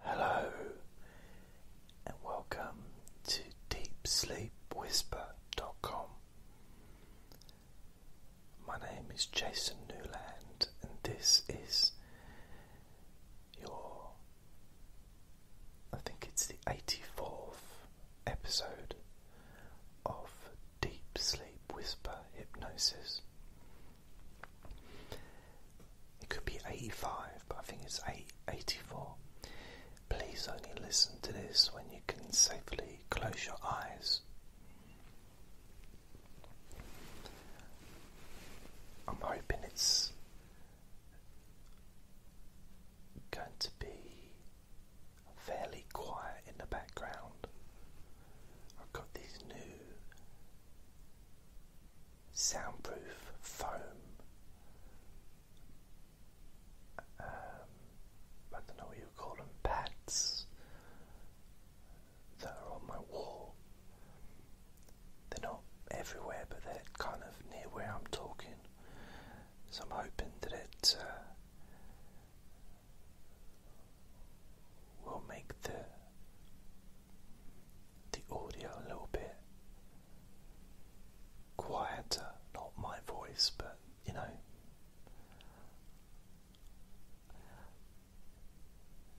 Hello and welcome to DeepSleepWhisper.com. My name is Jason Newland, and this is your, I think it's the 84th episode of Deep Sleep Whisper Hypnosis. It could be 85, but I think it's 8, 84. Please only listen to this when you can safely close your eyes. I'm hoping it's going to be fairly quiet in the background. I've got these new soundproof foam. Um, I don't know what you call them, pads that are on my wall. They're not everywhere, but they're kind of near where I'm talking. So I'm hoping that it uh, will make the the audio a little bit quieter, not my voice, but you know.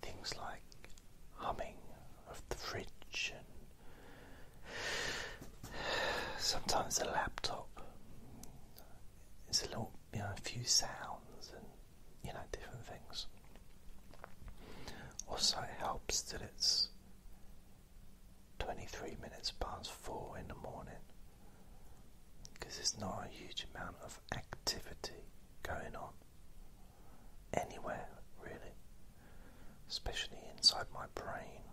Things like humming of the fridge and sometimes the laptop. It's a little, you know, a few sounds and you know, different things. Also, it helps that it's 23 minutes past 4 in the morning because there's not a huge amount of activity going on anywhere, really, especially inside my brain,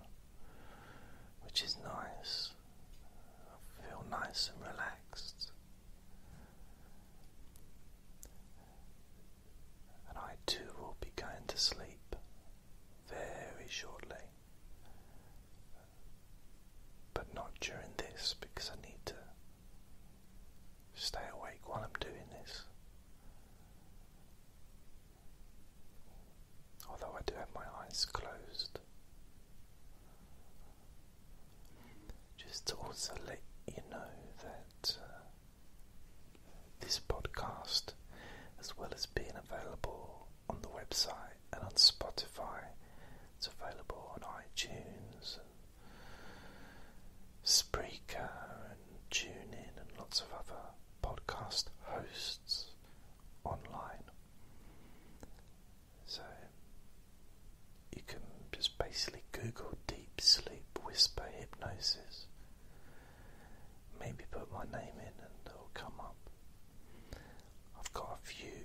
which is nice. I feel nice and relaxed. And I too will be going to sleep very shortly. But not during this because I need to stay awake while I'm doing this. Although I do have my eyes closed. Just to also let you know that uh, this podcast, as well as being available on the website and on Spotify, it's available on iTunes and Spreaker and TuneIn and lots of other podcast hosts online. So you can just basically Google deep sleep whisper hypnosis. Maybe put my name in and it'll come up. I've got a few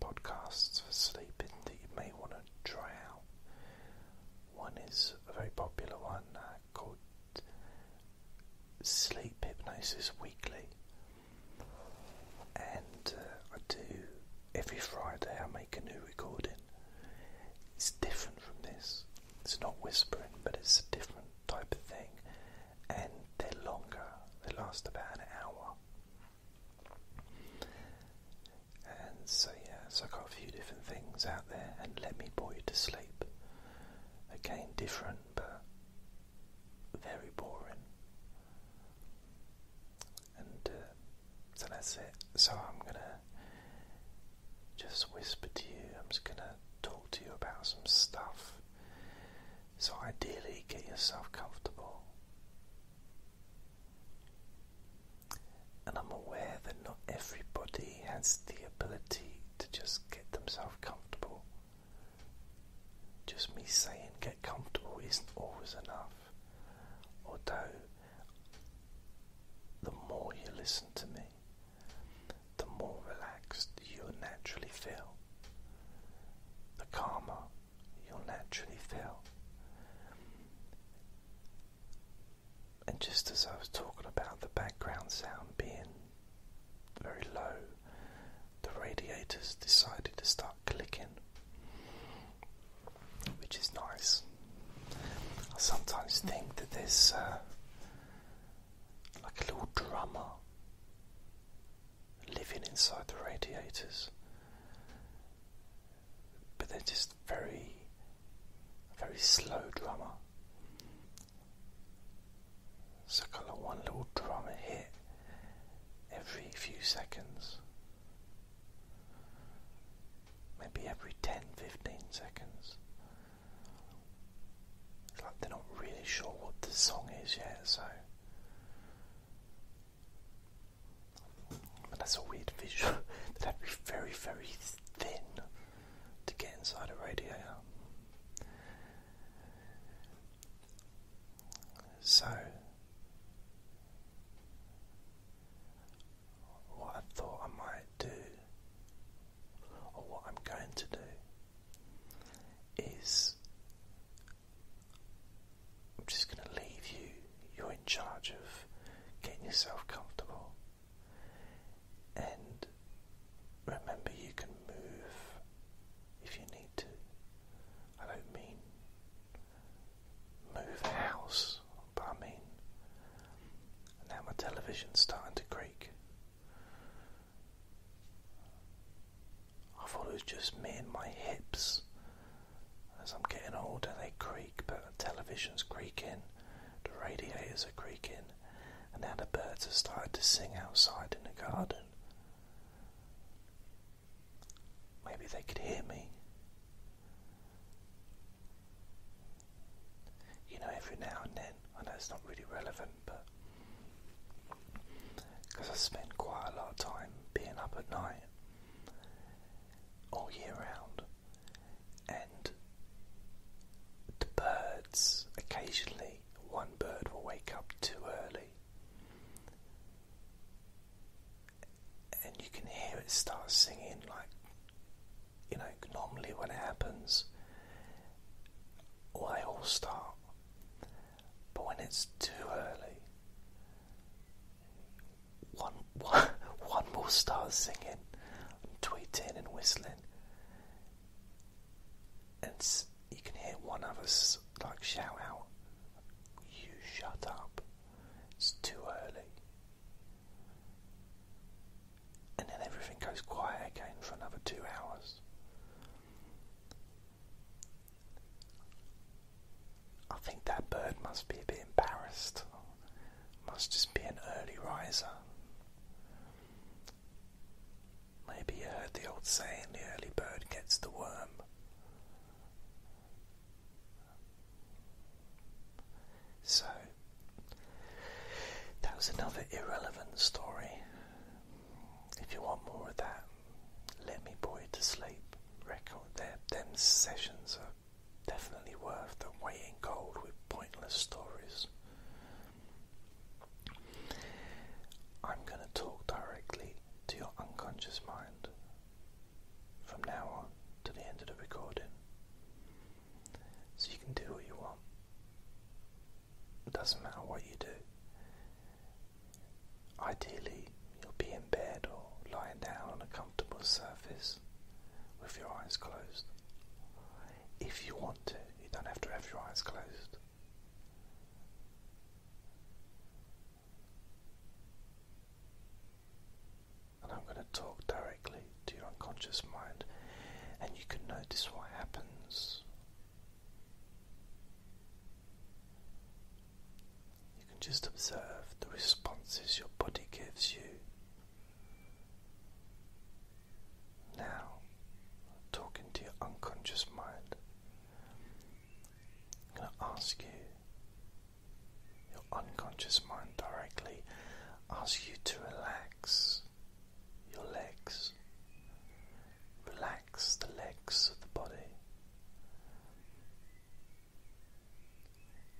podcasts for sleeping that you may want to try out. One is a very popular one uh, called Sleep Hypnosis Weekly, and uh, I do every Friday. I make a new recording is different from this. It's not whispering, but it's a different type of thing, and they're longer. They last about an hour. And so yeah, so I got a few different things out there, and let me bore you to sleep. Again, different, but very boring. And uh, so that's it. So I'm gonna just whisper to you, I'm just gonna talk to you about some stuff. So ideally, get yourself comfortable. And I'm aware that not everybody has the ability to just get themselves comfortable. Just me saying get comfortable isn't always enough. Although, the more you listen to me, the more relaxed you'll naturally feel, the calmer you'll naturally feel. And just as I was talking about the background sound being very low, the radiators decided to start clicking which is nice. I sometimes think that there's uh, like a little drummer living inside the radiators, but they're just very, very slow drummer. So kind of one little drummer hit every few seconds, Maybe every 10 15 seconds. It's like they're not really sure what the song is yet, so. that's a weird visual. They'd be very, very thin to get inside a radiator. So, what I thought I might do or what I'm going to do is I'm just going to leave you. You're in charge of getting yourself comfortable. And remember, you can move if you need to. I don't mean move house, but I mean, now my television's starting to creak. I thought it was just me and my hips. As I'm getting older, they creak, but the television's creaking, the radiators are creaking, and now the birds have started to sing outside in the garden. Maybe they could hear me. You know, every now and then, I know it's not really relevant, but because I spend quite a lot of time being up at night all year round, and the birds occasionally, one bird will wake up too early and you can hear it start singing like you know normally when it happens or they all start but when it's too early one one, one will start singing and tweeting and whistling and you can hear one of us like shout out you shut up it's too early. And then everything goes quiet again for another two hours. I think that bird must be a bit embarrassed. Must just be an early riser. Maybe you heard the old saying the early bird gets the worm. So that was another irrelevant story. If you want more of that, Let Me put you to Sleep record. Their, them sessions are definitely worth the weight in gold with pointless stories. I'm going to talk directly to your unconscious mind from now on to the end of the recording. So you can do what you want. It doesn't matter what you do. Ideally, you'll be in bed or lying down on a comfortable surface with your eyes closed. If you want to, you don't have to have your eyes closed. And I'm going to talk directly to your unconscious mind, and you can notice what happens. You can just observe the responses your body gives you. Now, talking to your unconscious mind, I'm going to ask you your unconscious mind directly asks you to relax your legs, relax the legs of the body,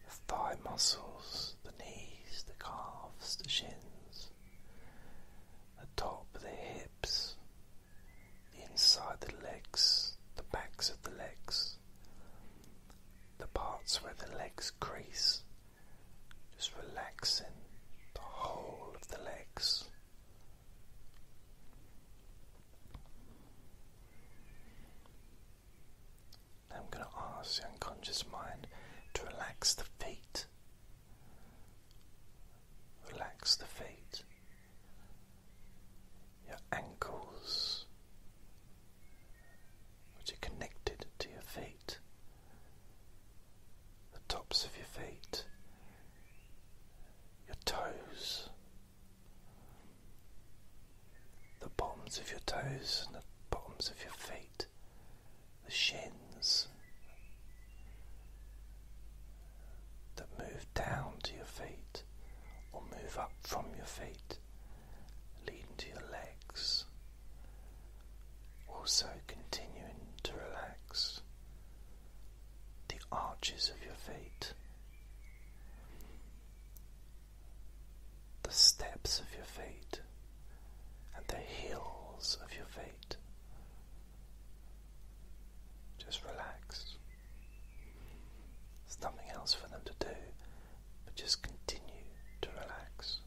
the thigh muscles, the knees, the calves, the shins, the top, the hips, the inside of the legs, the backs of the legs, the parts where the legs crease, just relaxing the whole of the legs. I'm going to ask the unconscious mind to relax the feet. Relax the feet your ankles, which are connected to your feet, the tops of your feet, your toes, the bottoms of your toes and the bottoms of your feet, the shins that move down to your feet or move up from your feet, leading to your legs. Also, continuing to relax the arches of your feet, the steps of your feet, and the heels of your feet. Just relax. There's nothing else for them to do but just continue to relax.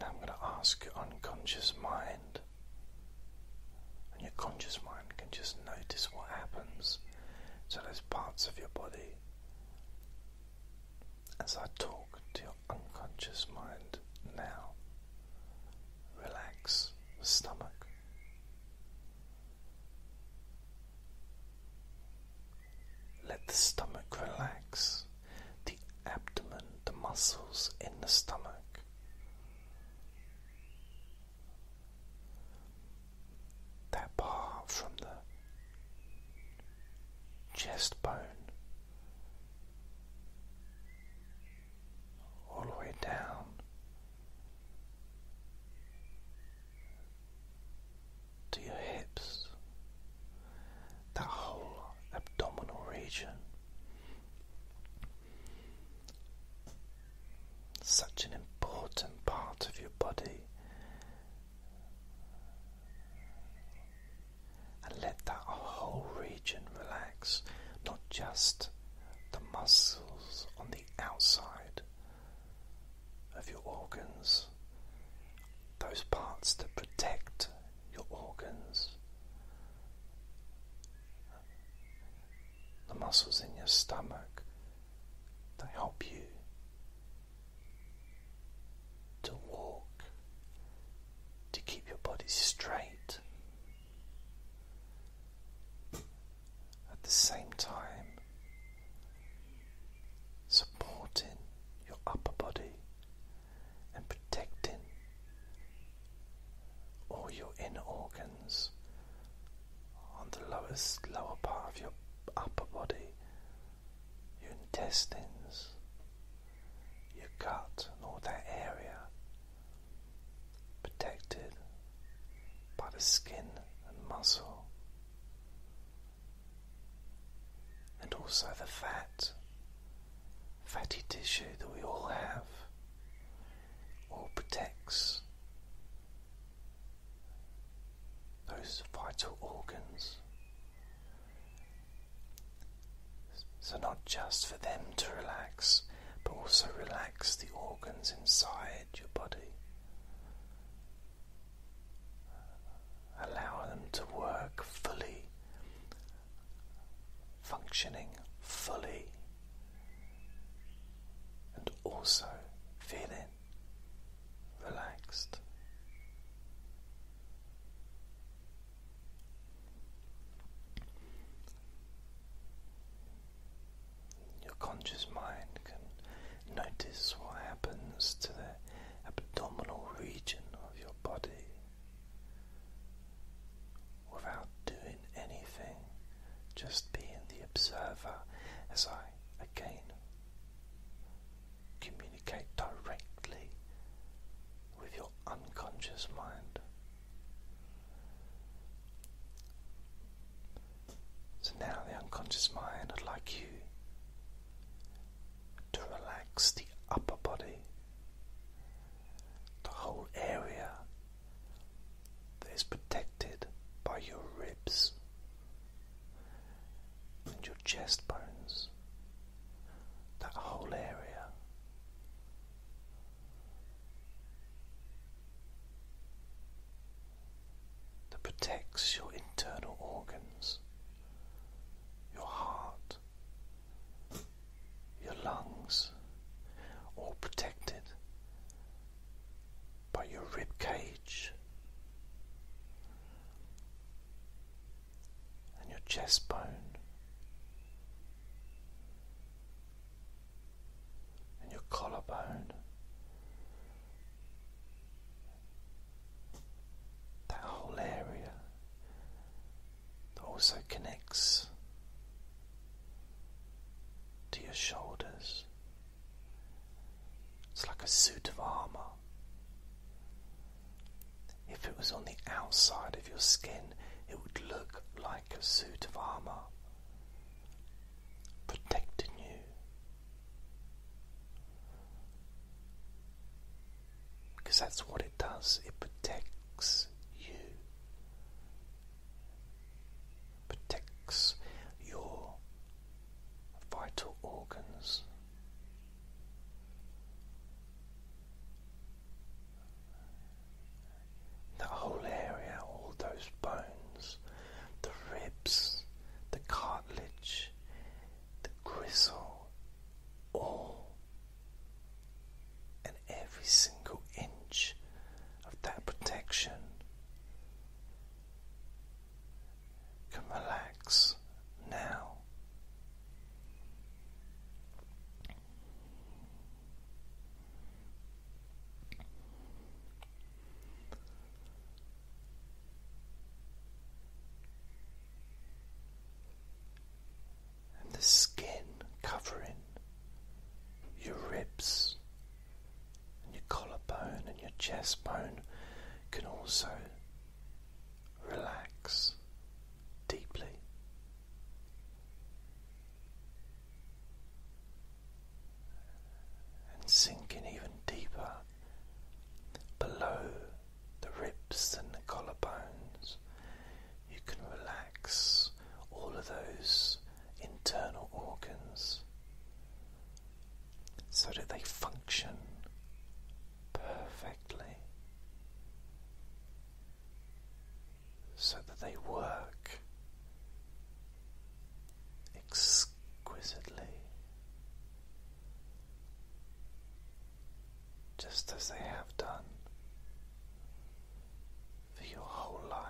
Now I'm going to ask your unconscious mind, and your conscious mind can just notice what happens to those parts of your body as I talk to your unconscious mind now relax the stomach. Let the stomach relax, the abdomen, the muscles in the stomach. That part from the chest bone all the way down to your hips, that whole abdominal region. Such an important part of your body and let that whole region relax, not just the muscles on the outside of your organs, those parts that protect your organs, the muscles in your stomach they help you to walk, to keep your body straight. At the same time, supporting your upper body and protecting all your inner organs on the lowest, lower part of your upper body, your intestines, your gut and all that area protected by the skin and muscle, and also the fat, fatty tissue that we all have, all protects those vital organs so, not just for them to relax, but also relax the organs inside your body. Allow them to work fully, functioning fully, and also feeling relaxed. Your conscious mind can notice what happens to the abdominal region of your body without doing anything, just being the observer as I again communicate directly with your unconscious mind. So now, the unconscious mind, would like you to relax the upper body, the whole area that is protected by your ribs and your chest bones. That whole area. That protects your internal organs, your heart, your lungs, all protected by your rib cage, and your chest bone and your collarbone. That whole area that also connects to your shoulders. It's like a suit of armour if it was on the outside of your skin, it would look like a suit of armour, protecting you. Because that's what it does, it protects you, protects your vital organs. That whole area, all those bones, the ribs, the cartilage, the gristle, all and every single inch of that protection can relax now and the skin covering your ribs and your collarbone and your chest bone can also relax deeply. And sinking even deeper below the ribs and the collarbones, you can relax all of those internal organs so that they function perfectly so that they work exquisitely just as they have done for your whole life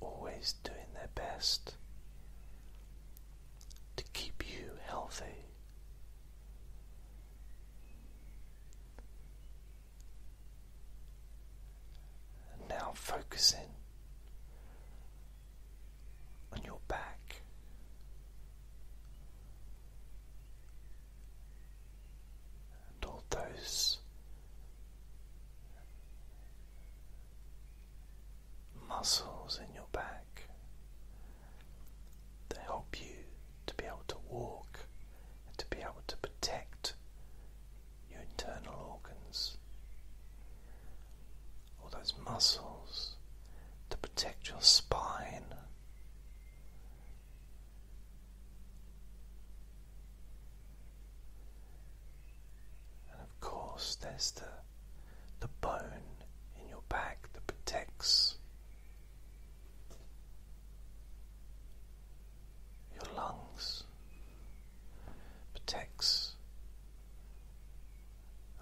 always doing their best to keep you healthy. And now in on your back. And all those muscles in your back. that help you to be able to walk and to be able to protect your internal organs. All those muscles that protect your spine. And of course, there's the, the bone in your back that protects your lungs, protects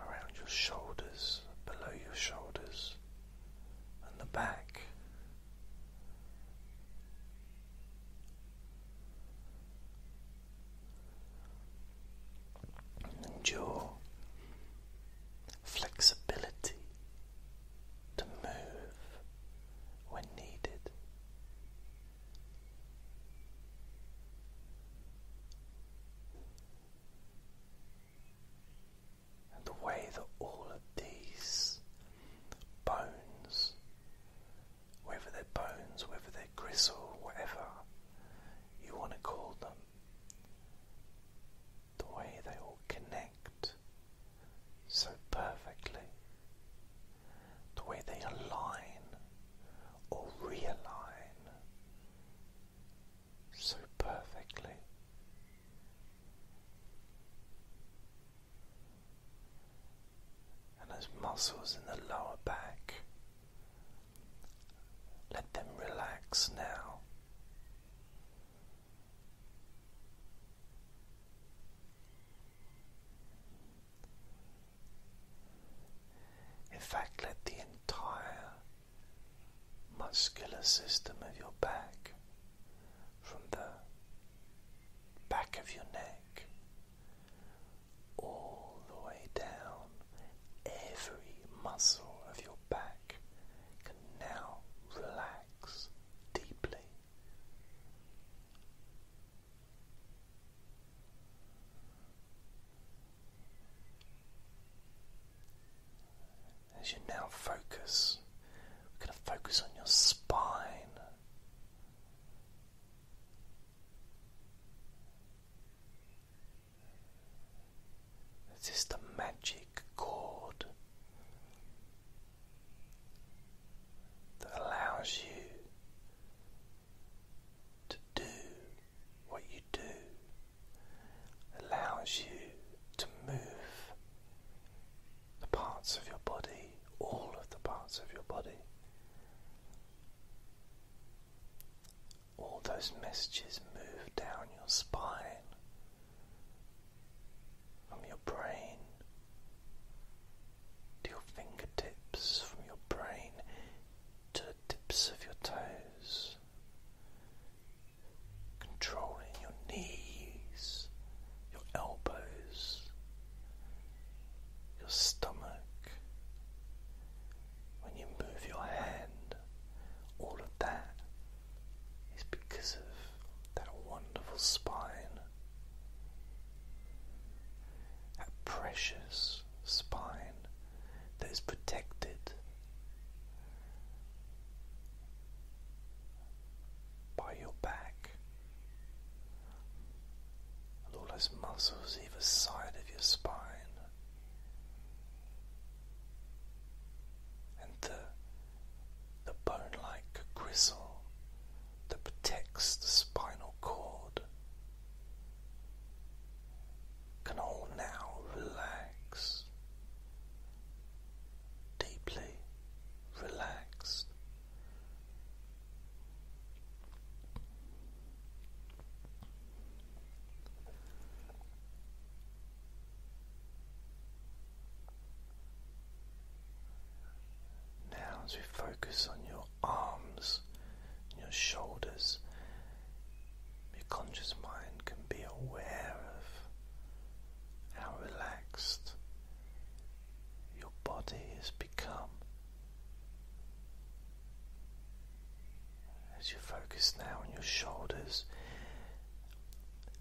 around your shoulders, below your shoulders, and the back and your flexibility to move when needed. And the way that all of these bones whether they're bones, whether they're gristle, whatever you want to call them, the way they all connect so perfectly, the way they align or realign so perfectly and those muscles in the lower back. Let them relax now. In fact, let the entire muscular system of your back, from the back of your neck all the way down. Every muscle of your back can now relax deeply. As you now focus, we're going to focus on your spine. This is the magic chord that allows you to do what you do, allows you to move the parts of your body, all of the parts of your body. All those messages move down your spine from your brain to your fingertips, from your brain to the tips of your toes, controlling your knees, your elbows, your stomach, when you move your hand, all of that is because of that wonderful spine, that precious spine that is protected by your back and all those muscles either side of your spine, and the, the bone like gristle that protects the spinal cord can all now relax. Deeply relaxed now, as we focus on your arms, and your shoulders, your conscious mind can be aware of how relaxed your body is as you focus now on your shoulders,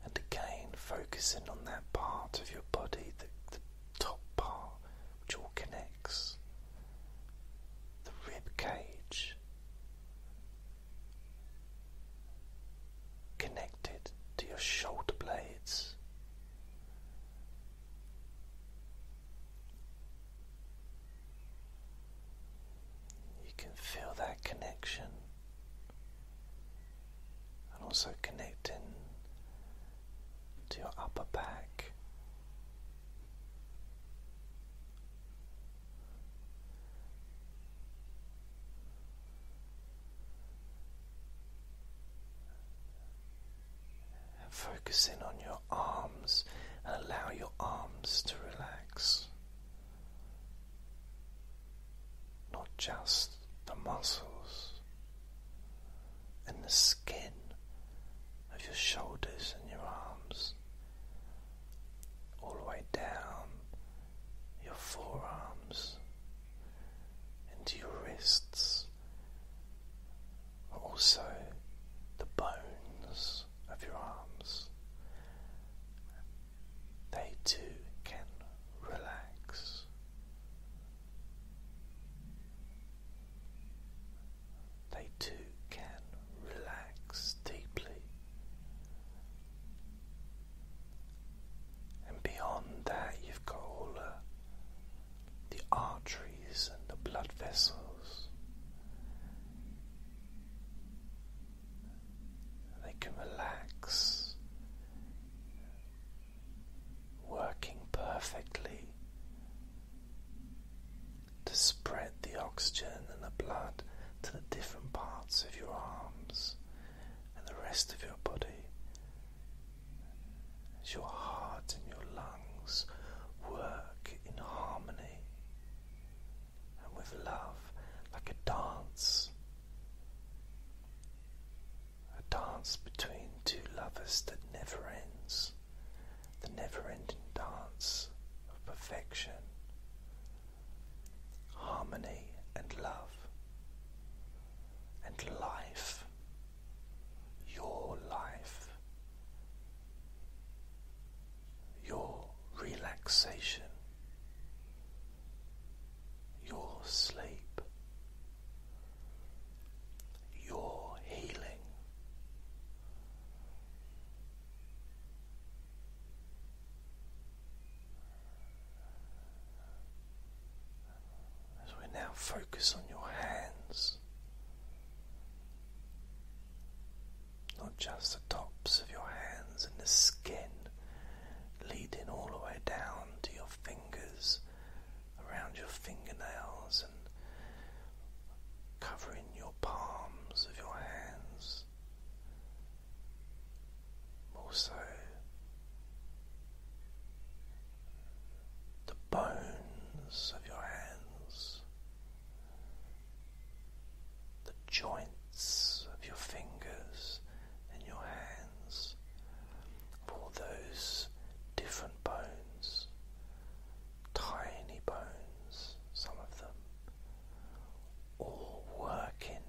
and again focusing on that part of your body, the, the top part which all connects, the rib cage, connected to your shoulder blades. You can feel that connection and also connecting to your upper back. And focus in on your arms and allow your arms to relax. Not just the muscles and the skin of your shoulders and your arms, all the way down your forearms into your wrists but also the bones of your arms. They too can relax. They too can relax deeply. And beyond that, you've got all the arteries and the blood vessels. They can relax, working perfectly to spread the oxygen and the blood to the different parts of your arms and the rest of your body as your heart and your lungs work in harmony and with love like a dance. A dance between two lovers that never ends, the never ending dance of perfection, harmony and love and life your life, your relaxation, your sleep, your healing. As we now focus on your hands, not just the tops of your hands and the skin, leading all the way down to your fingers, around your fingernails, and covering your palms of your hands. Also, the bones of your hands, the joints of your fingers and your hands, all those different bones, tiny bones, some of them, all working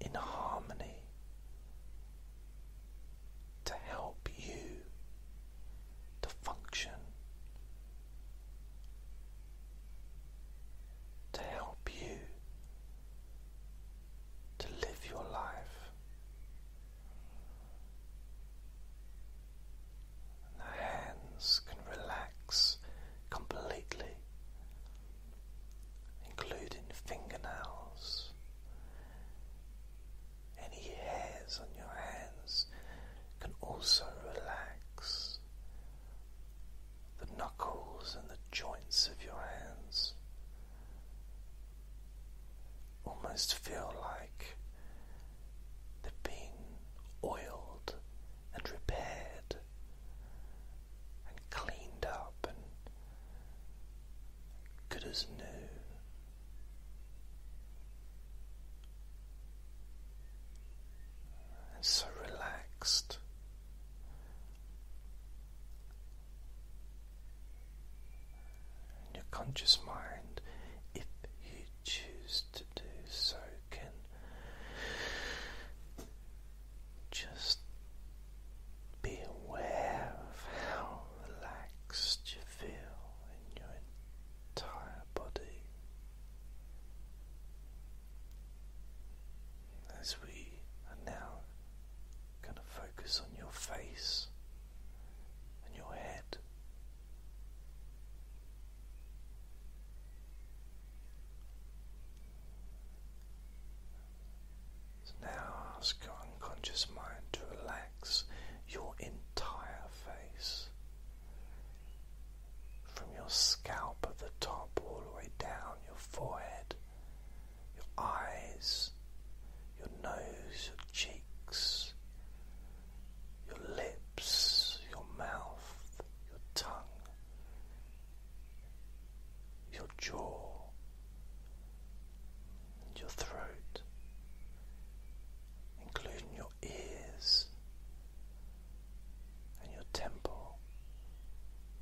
in harmony to help you to function, to help you to live your life. And the hands can relax completely, including fingernails any hairs on your hands can also relax. The knuckles and the joints of your hands almost feel like they've been oiled and repaired and cleaned up good as new. And so relaxed. And your conscious mind, if you choose to do so, can just be aware of how relaxed you feel in your entire body as we are now going to focus on your face and your head now ask your unconscious mind to relax your entire face from your scalp at the top all the way down your forehead, your eyes, your nose, your cheeks, your lips, your mouth, your tongue, your jaw, and your throat, including your ears and your temple,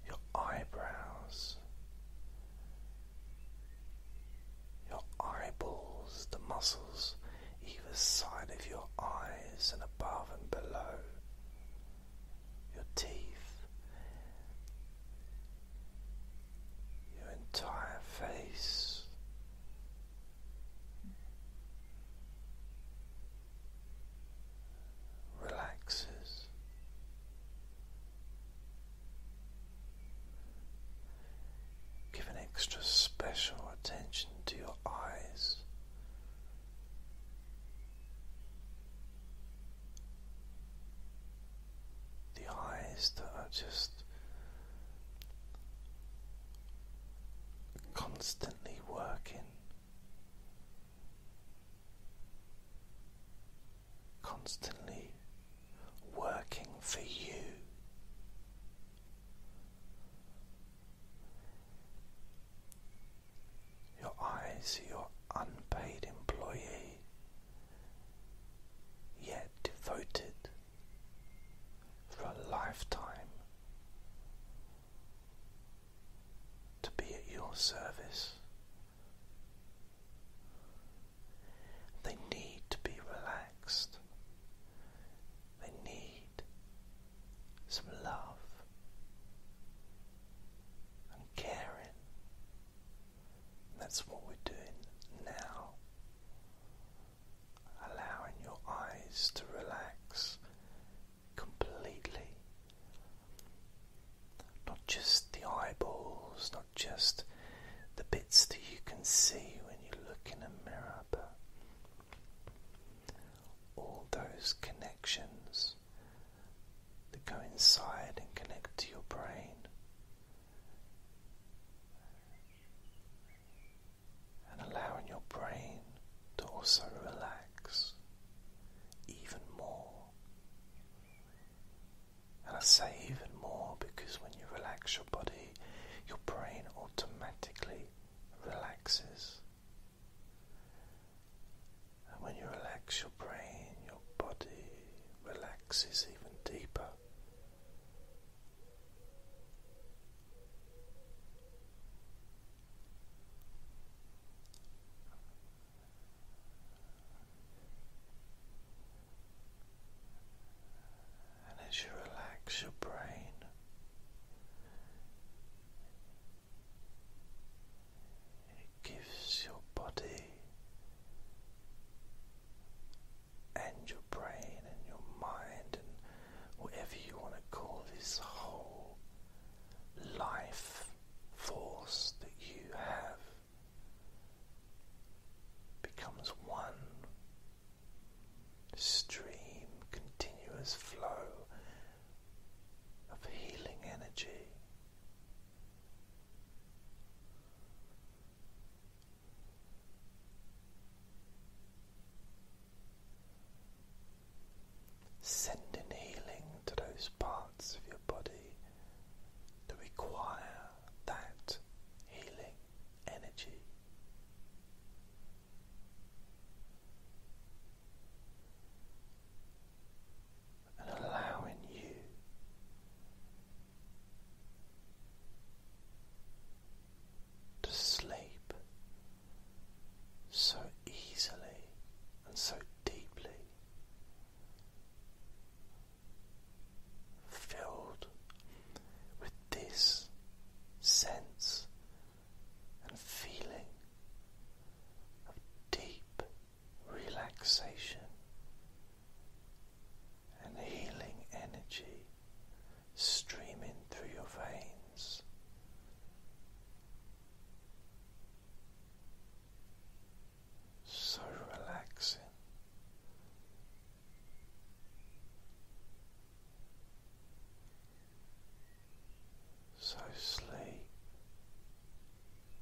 your eyebrows, your eyeballs, the muscles either side of your eyes and above and below your teeth, your entire face. Relaxes. Give an extra special attention to your eyes the eyes that are just constantly working, constantly working for you. Your eyes are your unpaid employee, yet devoted for a lifetime to be at your service. They need to be relaxed. They need some love and caring that's what we're doing now. Allowing your eyes to relax completely. Not just the eyeballs, not just the bits that you can see when you look in a mirror, but all those connections that go inside and connect to your brain. And allowing your brain to also relax even more. And I say even more because when you relax your body, your brain automatically relaxes. And when you relax your brain, your body relaxes even deeper. And as you relax your brain, it gives your body and your brain and your mind and whatever you want to call this whole life force that you have becomes one stream, continuous flow of healing energy. Sending healing to those parts of your body that require that healing energy and allowing you to sleep so easily and so deeply, filled with this sense and feeling of deep relaxation and healing energy streaming through your veins. So relaxing. So sleep,